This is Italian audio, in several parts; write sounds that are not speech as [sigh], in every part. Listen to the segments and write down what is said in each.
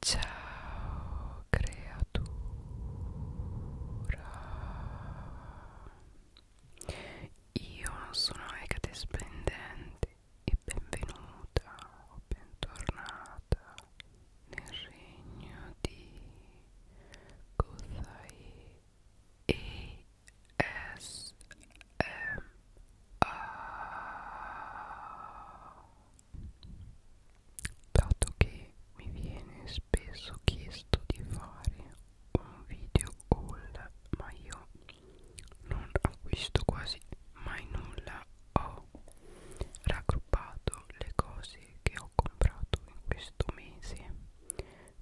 Ciao creatura Io non sono Ecate Splendente e benvenuta o bentornata nel regno di Gozai e S M A dato che mi viene spesso chiesto di fare un video haul ma io non acquisto quasi mai nulla ho raggruppato le cose che ho comprato in questo mese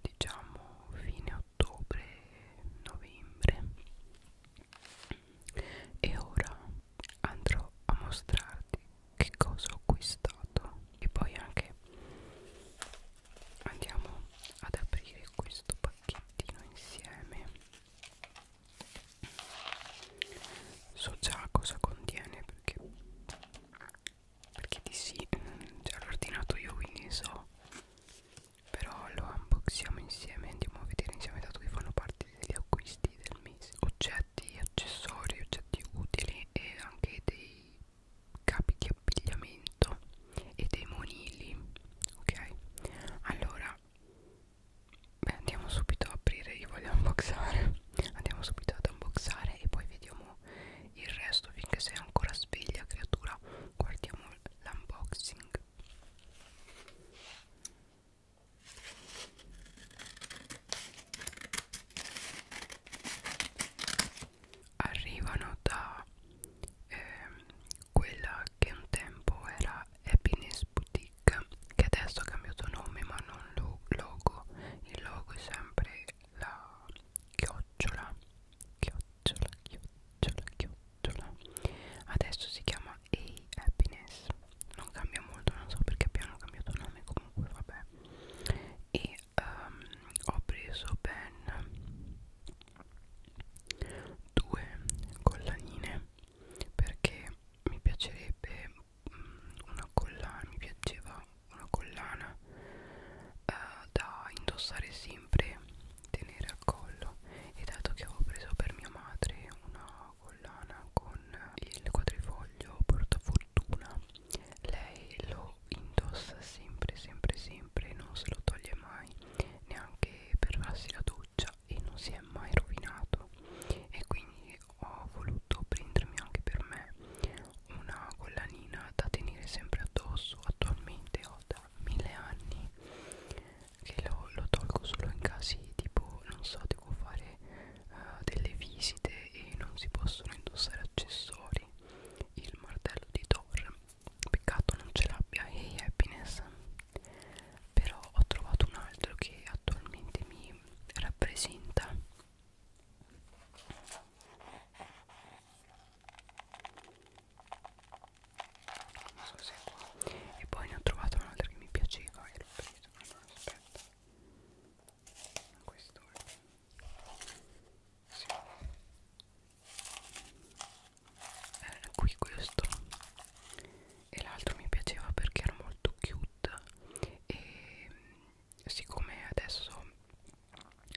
diciamo fine ottobre novembre e ora andrò a mostrarti che cosa ho acquistato e poi anche andiamo ad aprire questo pacchettino insieme. So già cosa contiene perché perché di sì già l'ho ordinato io quindi so però lo unboxiamo insieme andiamo a vedere insieme dato che fanno parte risultati degli acquisti del mese oggetti, accessori, oggetti utili e anche dei capi di abbigliamento e dei monili ok allora beh, andiamo subito a aprire io voglio unboxare andiamo subito ad unboxare e poi vediamo il resto finché sei ancora sveglia creatura guardiamo l'unboxing arrivano da eh, quella che un tempo era Happiness Boutique che adesso ha cambiato nome ma non lo logo il logo è sempre la chiocciola chiocciola chiocciola chiocciola adesso si chiama A Happiness non cambia molto non so perché abbiamo cambiato nome comunque vabbè e um, ho preso ben due collanine perché mi piacerebbe mm, una collana mi piaceva una collana uh, da indossare sempre tenere al collo e dato che avevo preso per mia madre una collana con il quadrifoglio portafortuna lei lo indossa sempre sempre sempre non se lo toglie mai neanche per farsi la doccia e non si è mai rovinato e quindi ho voluto prendermi anche per me una collanina da tenere sempre addosso attualmente ho da mille anni che lo, lo tolgo solo in casi tipo non so devo fare uh, delle visite e non si possono indossare accessori il martello di Thor peccato non ce l'abbia hey happiness però ho trovato un altro che attualmente mi rappresenta non so se è qua e poi ne ho trovato un'altra che mi piaceva e l'ho presa allora aspetta questo sì. era qui questo e l'altro mi piaceva perché era molto cute e siccome adesso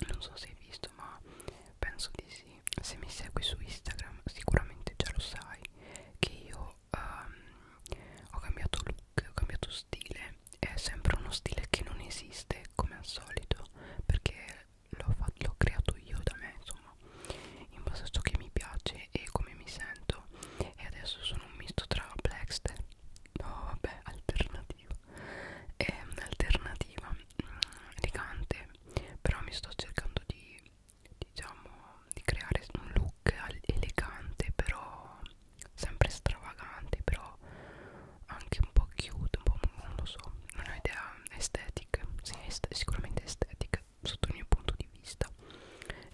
non so se hai visto ma penso di sì se mi segui su Instagram sicuramente già lo sai che io um, ho cambiato look, ho cambiato stile è sempre uno stile che non esiste come al solito perché l'ho creato io da me insomma in base a ciò che mi piace e come mi sento e adesso sono un misto tra blackster no vabbè alternativa è ehm, un'alternativa mm, elegante però mi sto cercando di diciamo di creare un look elegante però sempre stravagante però anche un po' cute un po' non lo so non ho idea estetica sì, est sicuramente estetica sotto il mio punto di vista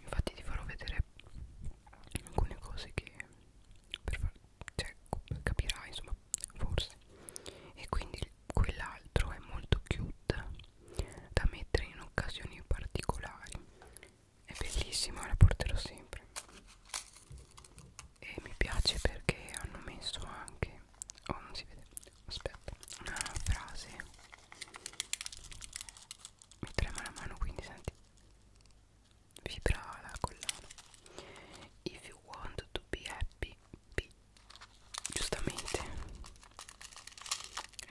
infatti ti farò vedere alcune cose che per far, cioè, capirai insomma forse e quindi quell'altro è molto cute da mettere in occasioni particolari è bellissima la porterò sempre e mi piace perché hanno messo anche oh non si vede aspetta una frase mi trema la mano quindi senti vibra la collana if you want to be happy be giustamente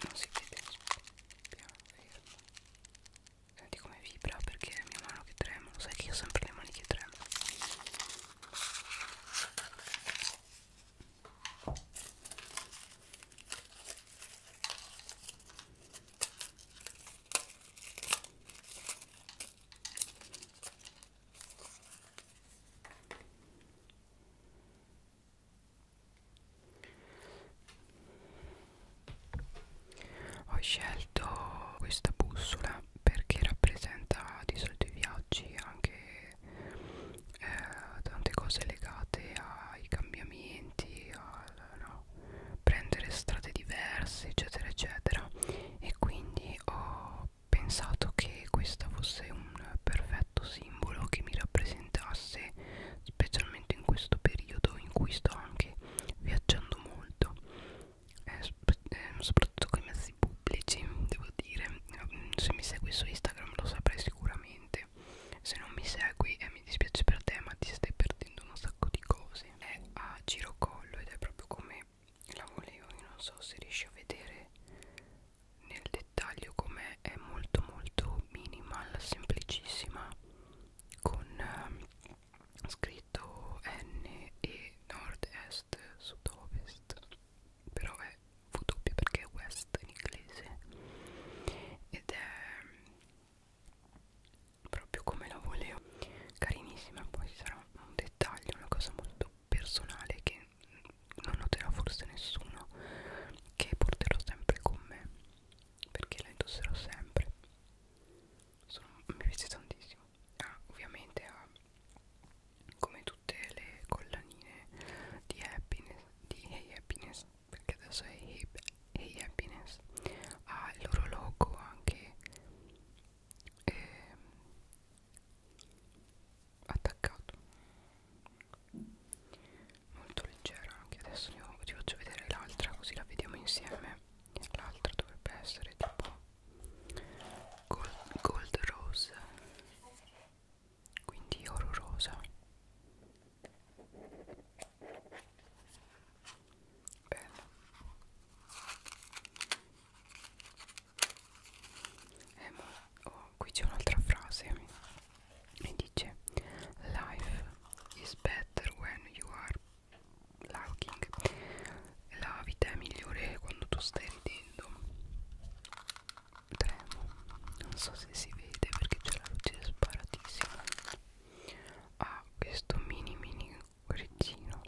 non si vede piano fermo senti come vibra perché è mia mano che trema lo sai che io ho sempre le mani che tremano ho scelto questa bussola perché rappresenta di solito i viaggi anche eh, tante cose legate ai cambiamenti, al no, prendere strade diverse eccetera eccetera e quindi ho pensato che questa fosse un perfetto simbolo che mi rappresentasse specialmente in questo periodo in cui sto anche viaggiando molto eh, eh, soprattutto con i mezzi pubblici devo dire mm, se mi segui su Instagram lo saprai sicuramente se non mi segui e eh, mi dispiace per te ma ti stai perdendo un sacco di cose è a girocollo ed è proprio come la volevo io non so se riesci a vedere nel dettaglio come è molto molto minimal semplicissima con eh, scritto N e nord est sud ovest però è W perché è west in inglese ed è ehm, proprio come la volevo carinissima poi sarà un dettaglio una cosa molto personale che non noterà forse nessuno che porterò sempre con me perché la indosserò sempre Sono, mi piace tantissimo ah, ovviamente ha come tutte le collanine di happiness di hey happiness perché adesso è hey, hey happiness ha il loro logo anche eh, attaccato molto leggero anche adesso io ti faccio vedere l'altra così la vediamo insieme l'altra dovrebbe essere tipo gold, gold rose quindi oro rosa bello eh, ma, oh, qui c'è un'altra frase e dice life is better when you are laughing la vita è migliore quando tu stai ridendo tremo non so se si vede perché c'è la luce sparatissima ha ah, questo mini mini rizzino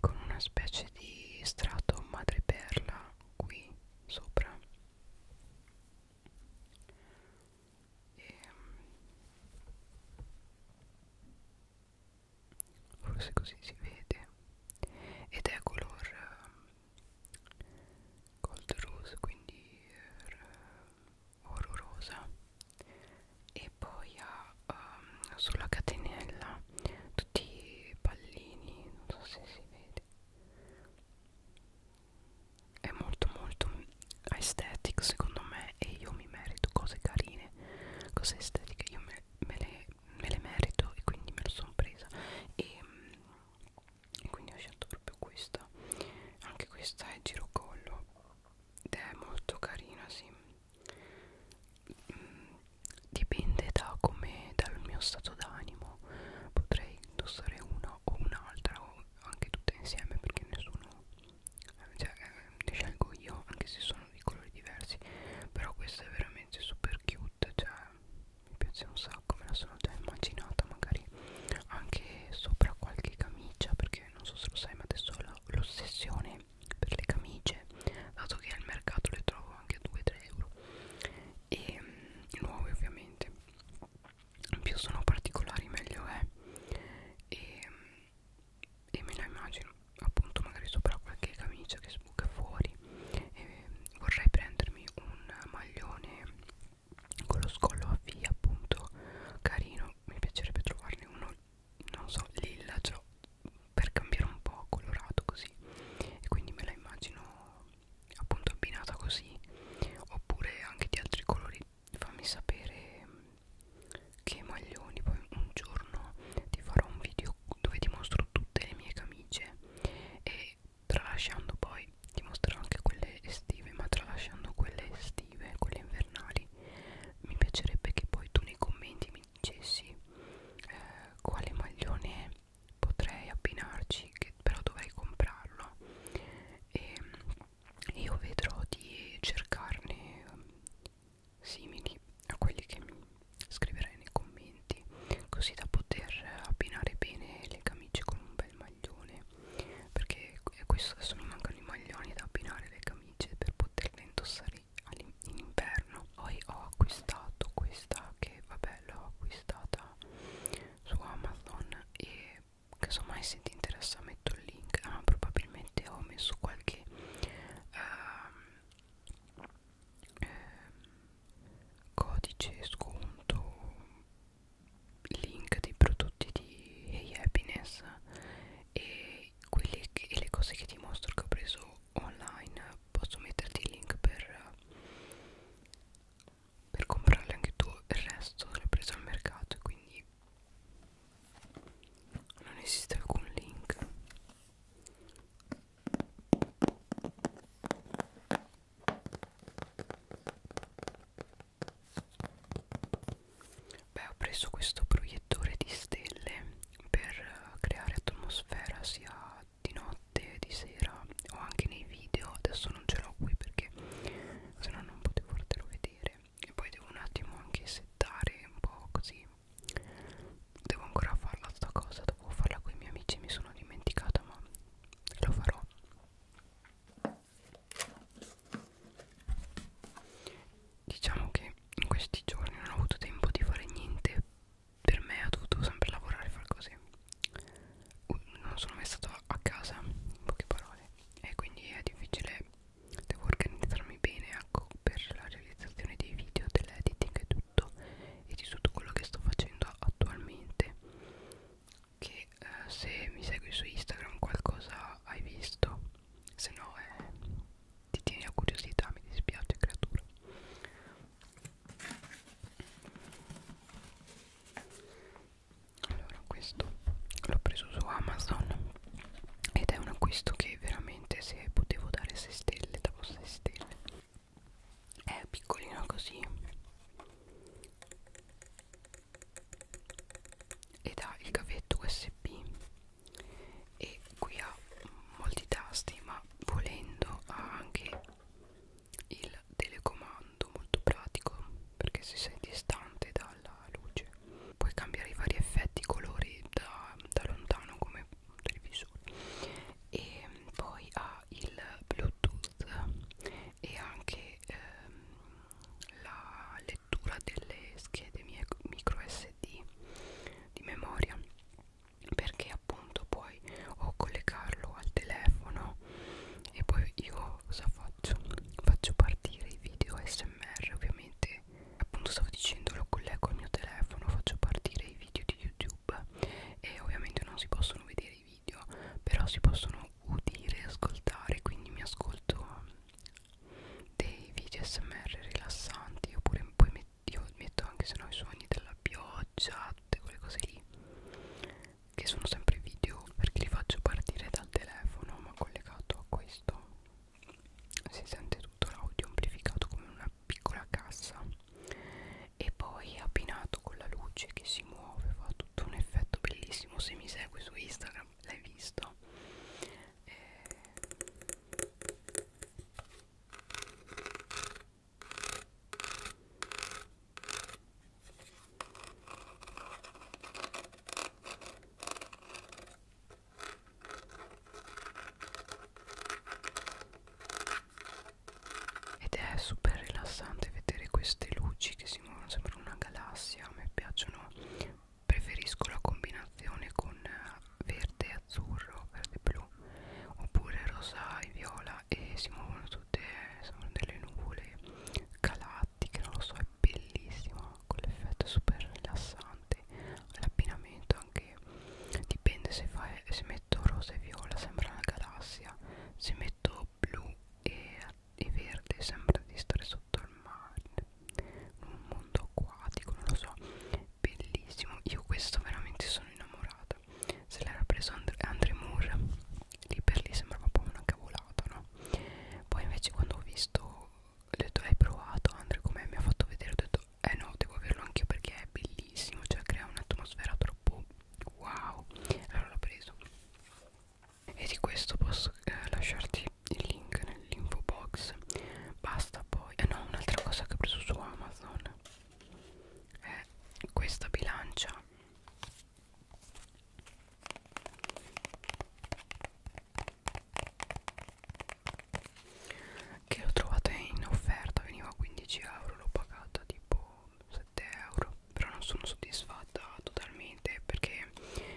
con una specie di strato madreperla qui sopra e ehm, forse così si vede ed è color ehm, gold rose quindi ehm, oro rosa e poi ha um, sulla catenella tutti i pallini non so se si vedi è molto molto aesthetic secondo me e io mi merito cose carine cose estetiche io me, me, le, me le merito e quindi me lo sono presa e, e quindi ho scelto proprio questa anche questa è girocollo ed è molto carina sì mm, dipende da come dal mio stato d'animo potrei indossare una o un'altra o anche tutte insieme perché nessuno cioè, ne eh, scelgo io anche se sono di colori diversi però questa è veramente super cute cioè mi piace un sacco me la sono già immaginata magari anche sopra qualche camicia perché non so se lo sai ma adesso ho l'ossessione per le camicie semplice dato che al mercato le trovo anche a 2-3 euro e mm, nuove ovviamente più sono particolari meglio è e, mm, e me la immagino appunto magari sopra qualche camicia che sbuca fuori e mm, vorrei prendermi un maglione con lo scollo a via appunto carino mi piacerebbe trovarne uno non so lilla cioè per cambiare un po' colorato così e quindi me la immagino appunto abbinata così oppure anche di altri colori fammi sapere mm, che maglioni poi un giorno ti farò un video dove ti mostro tutte le mie camicie e tralasciando poi ti mostrerò anche quelle estive ma tralasciando quelle estive quelle invernali mi piacerebbe che poi tu nei commenti mi dicessi eh, quale maglione potrei abbinarci che però dovrei comprarlo e io vedrò di cercarne um, simili a quelli che mi scriverai nei commenti così da poter abbinare bene le camicie con un bel maglione perché eh, questo adesso mi mancano i maglioni da abbinare le camicie per poterle indossare in inverno poi ho acquistato questa che vabbè l'ho acquistata su Amazon e casomai se ti interessa metto il link ah, probabilmente ho messo qualche ehm, ehm, codice sconto link dei prodotti di hey Happiness e, quelli che, e le cose che ti mostro che ho preso online posso metterti il link per, per comprarle anche tu il resto l'ho preso al mercato e quindi non esiste alcun link Beh, ho preso questo proiettore di stelle per creare atmosfera sia di notte, di sera o anche nei video adesso non ce l'ho qui perché se no non potevo fartelo vedere e poi devo un attimo anche settare un po' così devo ancora farla sta cosa dovevo farla con i miei amici mi sono dimenticata ma lo farò diciamo che in questi giorni non ho avuto tempo di fare niente per me ho dovuto sempre lavorare e far così non sono mai stato a casa in poche parole e quindi è difficile devo organizzarmi bene ecco, per la realizzazione dei video dell'editing e tutto e di tutto quello che sto facendo attualmente che eh, se mi segui su Instagram qualcosa hai visto se no è ti tieni la curiosità mi dispiace creatura allora questo l'ho preso su Amazon ed è un acquisto che veramente se potevo dare 6 stelle davo 6 stelle è piccolino così ed ha il cavetto usb e qui ha molti tasti ma volendo ha anche il telecomando molto pratico perché se sei distante dalla luce puoi cambiare i vari effetti colori da, da lontano come un televisore e poi ha il bluetooth e anche ehm, la lettura delle schede mie, micro sd di memoria perché appunto poi o collegarlo al telefono e poi io cosa faccio? Faccio partire i video smr ovviamente appunto stavo dicendo lo collego al mio telefono faccio partire i video di youtube e ovviamente non si possono vedere i video però si possono udire e ascoltare quindi mi ascolto um, dei video smr rilassanti oppure poi metto io metto anche se no i suoni della pioggia tutte quelle cose lì che sono sempre video perché li faccio partire dal telefono ma collegato a questo si sente tutto l'audio amplificato come una piccola cassa e poi abbinato con la luce che si muove fa tutto un effetto bellissimo se mi segui su Instagram l'hai visto eh, ed è super rilassante vedere queste luci che si muovono, sembra una galassia, a me piacciono, preferisco la combinazione con eh, verde e azzurro, verde e blu oppure rosa e viola e si muovono tutte, sono delle nuvole galattiche, non lo so, è bellissima quell'effetto super rilassante l'abbinamento anche dipende se, fa, se metto rosa e viola sembra una galassia se metto blu e, e verde sembra di stare sotto il mare in un mondo acquatico non lo so bellissimo io questo veramente sono innamorata se l'era preso Andre, Andre Moore lì per lì sembrava un po' una cavolata no poi invece quando ho visto ho detto hai provato Andre com'è mi ha fatto vedere ho detto eh no devo averlo anch'io perché è bellissimo cioè crea un'atmosfera troppo wow allora l'ho preso e di questo posso eh, lasciarti il link nell'info box basta poi eh no un'altra cosa che ho preso su Amazon è questa bilancia che l'ho trovata in offerta veniva a 15 euro l'ho pagata tipo 7 euro però non sono soddisfatta totalmente perché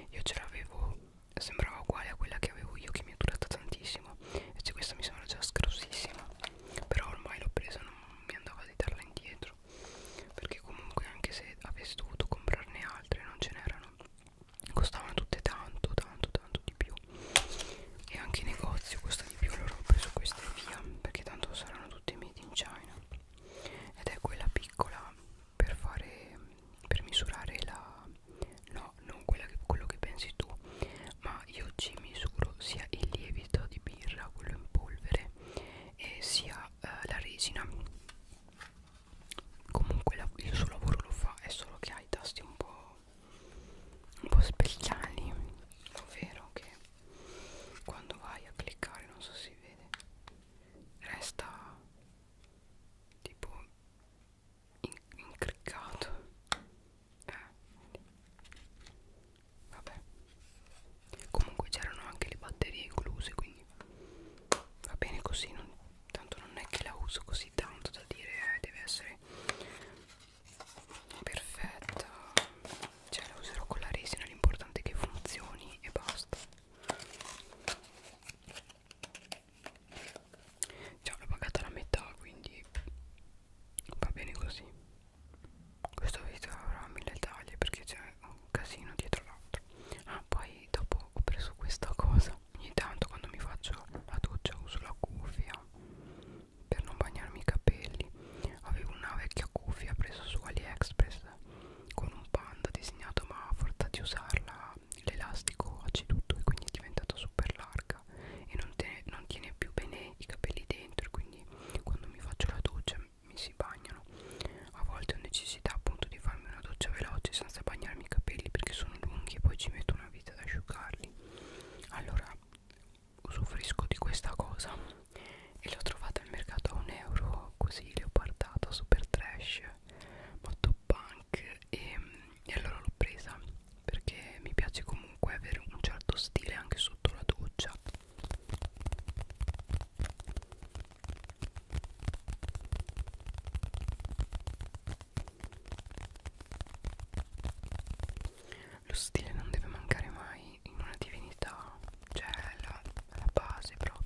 io ce l'avevo sembrava uguale a quella che avevo io che mi è durata tantissimo e cioè questa mi sembra già scarsissima però ormai l'ho presa non mi andava di darla indietro perché comunque anche se avessi dovuto comprarne altre non ce n'erano costavano tutte tanto tanto tanto di più e anche in negozio costa di più allora ho preso queste via perché tanto saranno tutte made in China ed è quella piccola per fare per misurare la no non quella che, quello che pensi tu ma io ci misuro sia il lievito di birra quello in polvere e sia eh, la resina comunque la, il suo lavoro lo fa è solo che ha i tasti un po' un po' specchiali ovvero che quando vai a cliccare non so se si vede resta tipo incriccato eh. vabbè comunque c'erano anche le batterie incluse quindi va bene così non, tanto non è che la uso così tanto da dire eh, deve essere perfetta cioè la userò con la resina l'importante è che funzioni e basta Già cioè, l'ho pagata la metà quindi va bene così Questo video avrà mille taglie perché c'è un casino dietro l'altro Ah poi dopo ho preso questa cosa Ogni tanto quando mi faccio la doccia uso la cuffia per non bagnarmi i capelli Avevo una vecchia cuffia presa su AliExpress con un panda disegnato ma a forza di usarla l'elastico ha ceduto e quindi è diventata super larga e non, te, non tiene più bene i capelli dentro quindi quando mi faccio la doccia mi si bagnano a volte ho necessità appunto di farmi una doccia veloce senza bagnarmi i capelli perché sono lunghi e poi ci metto una vita ad asciugarli allora usufruisco di questa cosa e l'ho trovata al mercato a un euro così leopardata super trash molto punk e, e allora l'ho presa perché mi piace comunque avere un certo stile anche sotto la doccia lo stile non deve mancare mai in una divinità cioè la, la base proprio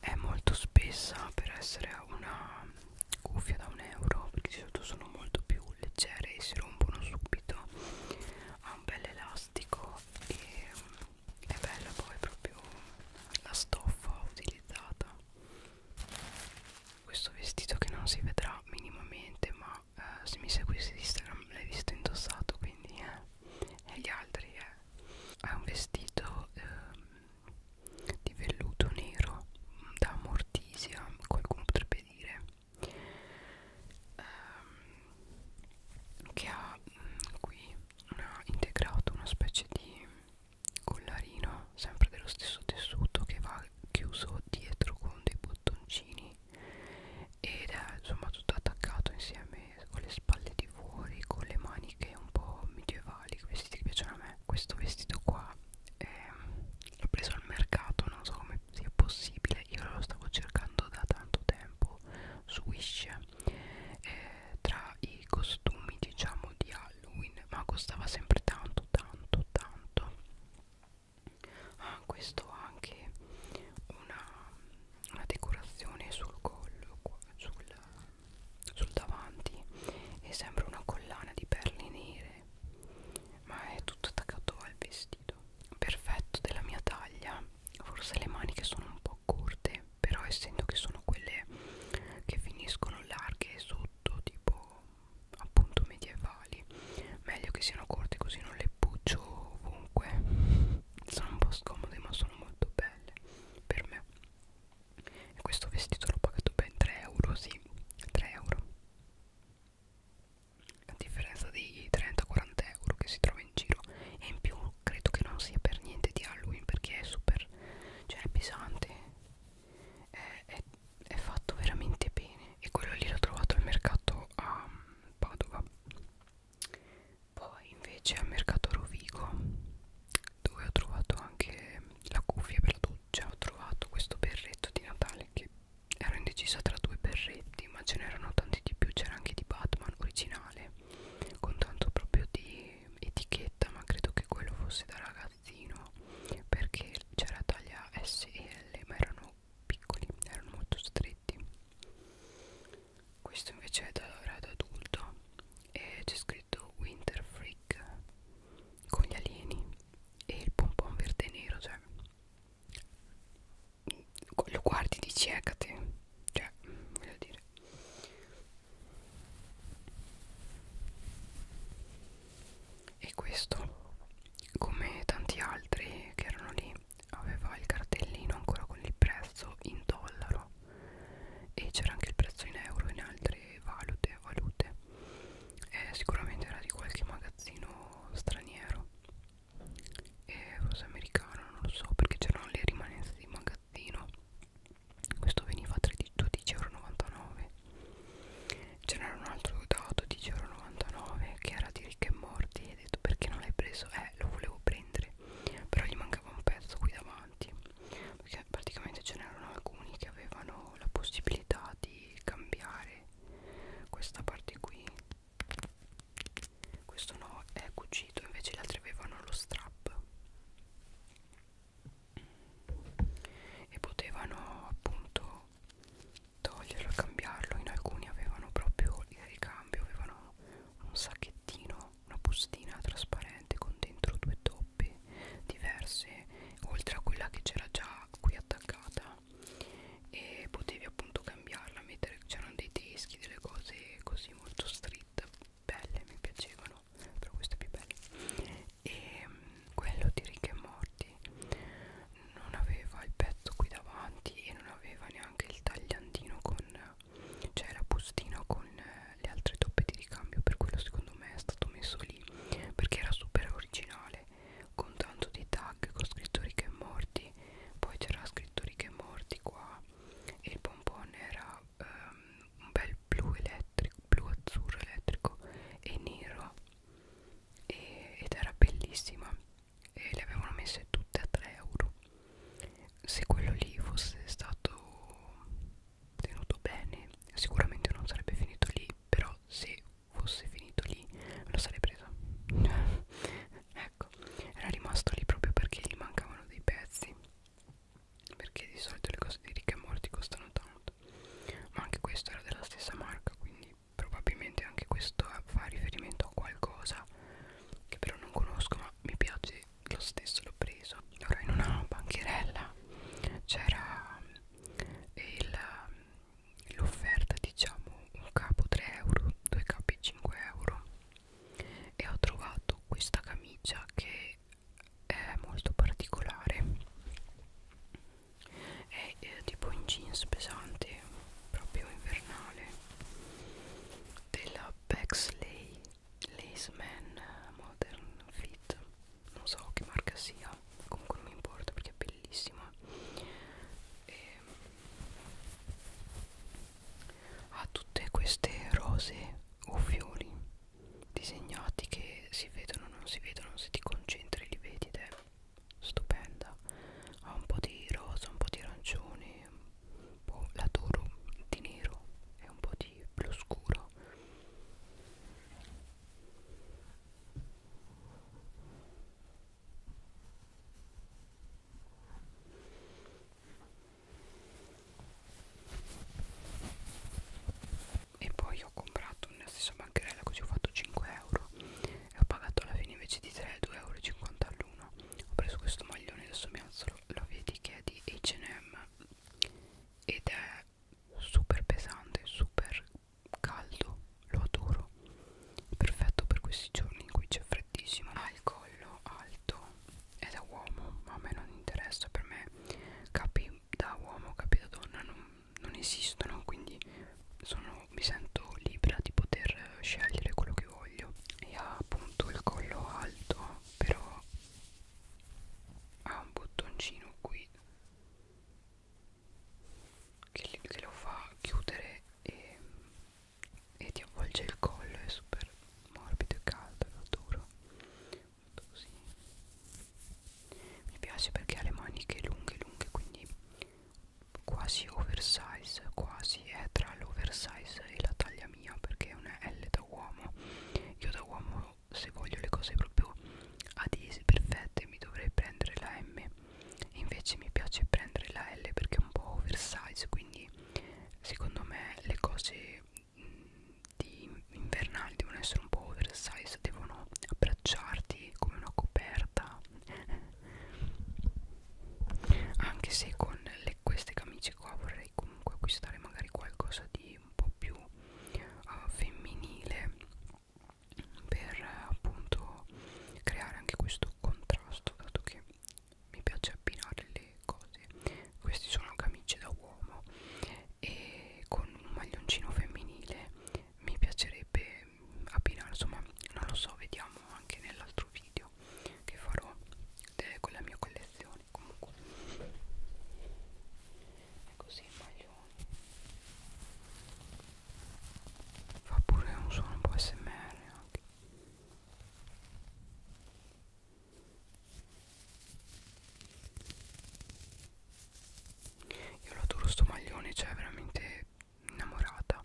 è molto spessa per essere una cuffia da un euro perché di solito sono molto più leggere e si rompono subito ha un bel elastico e mm, è bella poi proprio la stoffa utilizzata questo vestito che non si vedrà minimamente ma eh, se mi seguissi di Instagram l'hai visto indossato quindi eh e gli altri è, eh. è un vestito eh, di velluto nero da mortisia qualcuno potrebbe dire ehm, che ha mh, mm, qui una, integrato una specie di collarino sempre dello stesso tessuto che va chiuso dietro con dei bottoncini ed è insomma tutto attaccato insieme con le spalle di fuori con le maniche un po' medievali vestiti che piacciono a me questo vestito qua eh, l'ho preso al mercato non so come sia possibile io lo stavo cercando da tanto tempo su Wish eh, tra i costumi diciamo di Halloween ma costava sempre tanto tanto tanto ah, questo ha anche una una decorazione sul collo sul, sul davanti e sembra una collana di perle nere ma è tutto attaccato al vestito perfetto della mia taglia forse le maniche sono un po' corte però essendo che sono quelle che finiscono larghe sotto tipo appunto medievali meglio che siano corte così non le peppuccio ovunque sono un po' scomode ma sono molto belle per me e questo vestito l'ho pagato ben 3 euro sì 3 euro a differenza dei 30-40 euro che si trova in giro e in più credo che non sia per niente di Halloween perché è super cioè è pesante è, è, è fatto veramente bene e quello lì l'ho trovato al mercato a Padova poi invece al mercato Rovigo dove ho trovato anche la cuffia per la doccia ho trovato questo berretto di Natale che ero indecisa tra due berretti ma ce n'erano tanti di più c'era anche di Batman originale con tanto proprio di etichetta ma credo che quello fosse da ragazzino perché c'era taglia S e L ma erano piccoli erano molto stretti questo invece è da grado adulto e c'è scritto Winter Freak con gli alieni e il pompon verde e nero cioè mm, lo guardi di ciecate cioè voglio dire e questo come tanti altri che erano lì aveva il cartellino ancora con il prezzo in dollaro e c'era anche il prezzo in euro e in altre valute, valute. Eh, sicuramente era di qualche magazzino straniero e forse americano non lo so perché c'erano le rimanenze di magazzino questo veniva a 12,99€ c'era un altro da 12,99€ che era di ricche e morti e ho detto perché non l'hai preso? eh lo volevo prendere però gli mancava un pezzo qui davanti perché praticamente ce n'erano alcuni che avevano la possibilità di cambiare questa parte qui questo no è cucito invece gli altri avevano lo strap e potevano appunto toglierlo e cambiarlo in alcuni avevano proprio il ricambio avevano un sacchettino, una bustina trasparente con dentro due toppe diverse, oltre a quella che c'era già qui attaccata e potevi appunto cambiarla, mettere c'erano dei teschi, delle cose così molto street, belle, mi piacevano, però queste più belle. E mm, quello di Rick e Morty non aveva il pezzo qui davanti e non aveva neanche anche il tagliandino con cioè la bustina con eh, le altre toppe di ricambio per quello secondo me è stato messo lì perché era super originale con tanto di tag con scritto Rick e Morty poi c'era scritto Rick e Morty qua e il bonbon era um, un bel blu elettrico blu azzurro elettrico e nero e, ed era bellissima e le avevano messe tutte a 3 euro se quello lì fosse stato tenuto bene sicuramente non sarebbe finito lì però se fosse finito lì me lo sarei presa [laughs] ecco era rimasto lì proprio perché gli mancavano dei pezzi perché di solito le cose di ricche e morti costano tanto ma anche questo era della stessa marca quindi probabilmente anche questo fa riferimento a qualcosa che però non conosco ma mi piace lo stesso l'ho preso allora in una bancherella c'era eh, l'offerta diciamo un capo 3 euro due capi 5 euro e ho trovato questa camicia che è molto particolare è eh, tipo in jeans pesante proprio invernale della Bexley Laceman eh, Modern Fit non so che marca sia comunque non mi importa perché è bellissima e ha tutte queste rose o fiori disegnati che si vedono non si vedono se ti concentri li vedi ed è stupenda ha un po' di rosa, un po' di arancione un po' l'adoro di nero e un po' di blu scuro e poi ho comprato nella stessa bancherella così ho fatto 5 euro e ho pagato alla fine invece di 3 2,50 all'uno ho preso questo maglione adesso mi alzo lo, lo vedi che è di H&M ed è super pesante super caldo lo adoro perfetto per questi giorni in cui c'è freddissimo ha il collo alto è da uomo ma a me non interessa per me capi da uomo capi da donna non, non esistono quindi sono, mi sento libera di poter scegliere quello che voglio e ha appunto il collo alto però ha un bottoncino qui che, che lo fa chiudere e, e ti avvolge il collo è super morbido e caldo lo duro Così. mi piace perché ha le maniche lunghe lunghe quindi quasi oversize quasi è tra l'oversize e la taglia mia perché è una L da uomo io da uomo se voglio le cose proprio adese perfette mi dovrei prendere la M invece mi piace prendere la L perché è un po' oversize quindi secondo me le cose di invernali devono essere un po' oversize devono abbracciarti come una coperta anche se con le, queste camicie qua vorrei comunque acquistare magari qualcosa di un po' più uh, femminile per uh, appunto creare anche questo contrasto dato che mi piace abbinare le cose queste sono camicie da uomo e con un maglioncino femminile mi piacerebbe abbinare insomma non lo so vediamo anche nell'altro video che farò con la mia collezione comunque è così il maglione fa pure un suono un po' smr anche io lo adoro sto maglione cioè veramente innamorata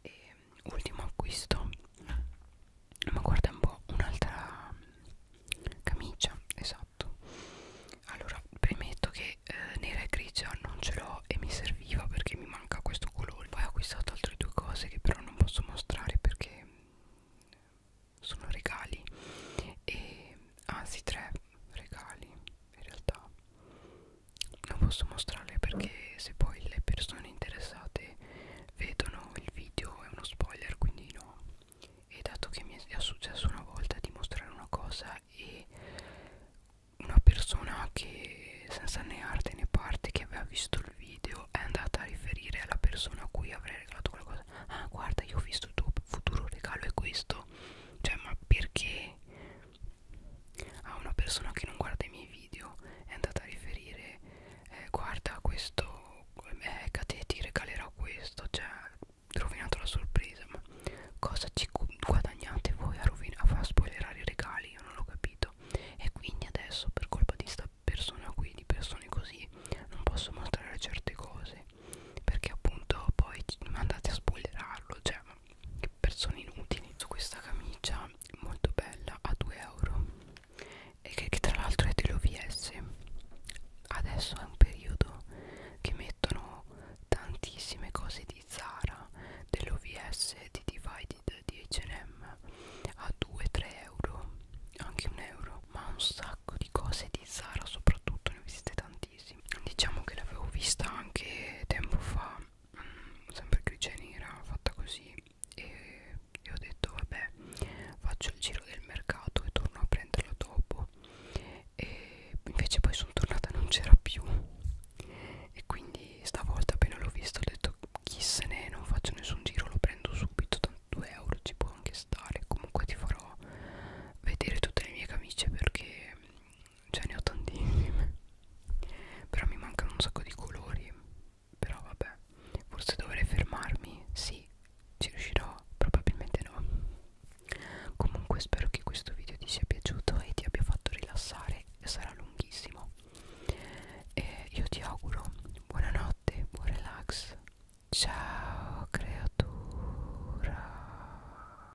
e ultimo acquisto ma guarda un po' un'altra camicia esatto allora premetto che eh, nera e grigia non ce l'ho e mi serviva perché mi manca questo colore poi ho acquistato altre due cose che però non posso mostrare perché sono regali e anzi tre regali in realtà non posso mostrarle perché se poi le persone interessate vedono il video è uno spoiler quindi no e dato che mi è successo una volta di mostrare una cosa e una persona che senza né arte né parte che aveva visto il video è andata a riferire alla persona a cui avrei regalato qualcosa ah guarda io ho visto il tuo futuro regalo è questo cioè ma perché a una persona che non guarda i miei video è andata a riferire eh, guarda questo eh, Kate ecco, ti regalerò questo cioè rovinato la sorpresa ma cosa ci guadagnate voi a, a spoilerare i regali io non l'ho capito e quindi adesso per colpa di sta persona qui di persone così non posso mostrare certe cose perché appunto poi andate a spoilerarlo cioè che persone inutili su questa camicia molto bella a 2 euro e che, che tra l'altro è dell'OVS adesso è un periodo che mettono tantissime cose di Zara dell'OVS di Divided di H&M a 2-3 euro anche un euro ma un sacco di cose di Zara soprattutto ne ho viste tantissime tantissimo diciamo che l'avevo vista anche tempo fa mh, mm, sempre grigia nera fatta così e, e ho detto vabbè faccio il giro del mercato e torno a prenderla dopo e invece poi sono tornata non c'era più e quindi stavolta appena l'ho vista ho detto chi se ne non faccio nessun giro lo prendo subito tanto 2 euro ci può anche stare comunque ti farò vedere tutte le mie camicie perché ce ne ho tantissime però mi mancano un sacco di colori però vabbè forse dovrei fermarmi sì ci riuscirò probabilmente no comunque spero che questo video ti sia piaciuto e ti abbia fatto rilassare e sarà lunghissimo e io ti auguro buonanotte buon relax ciao creatura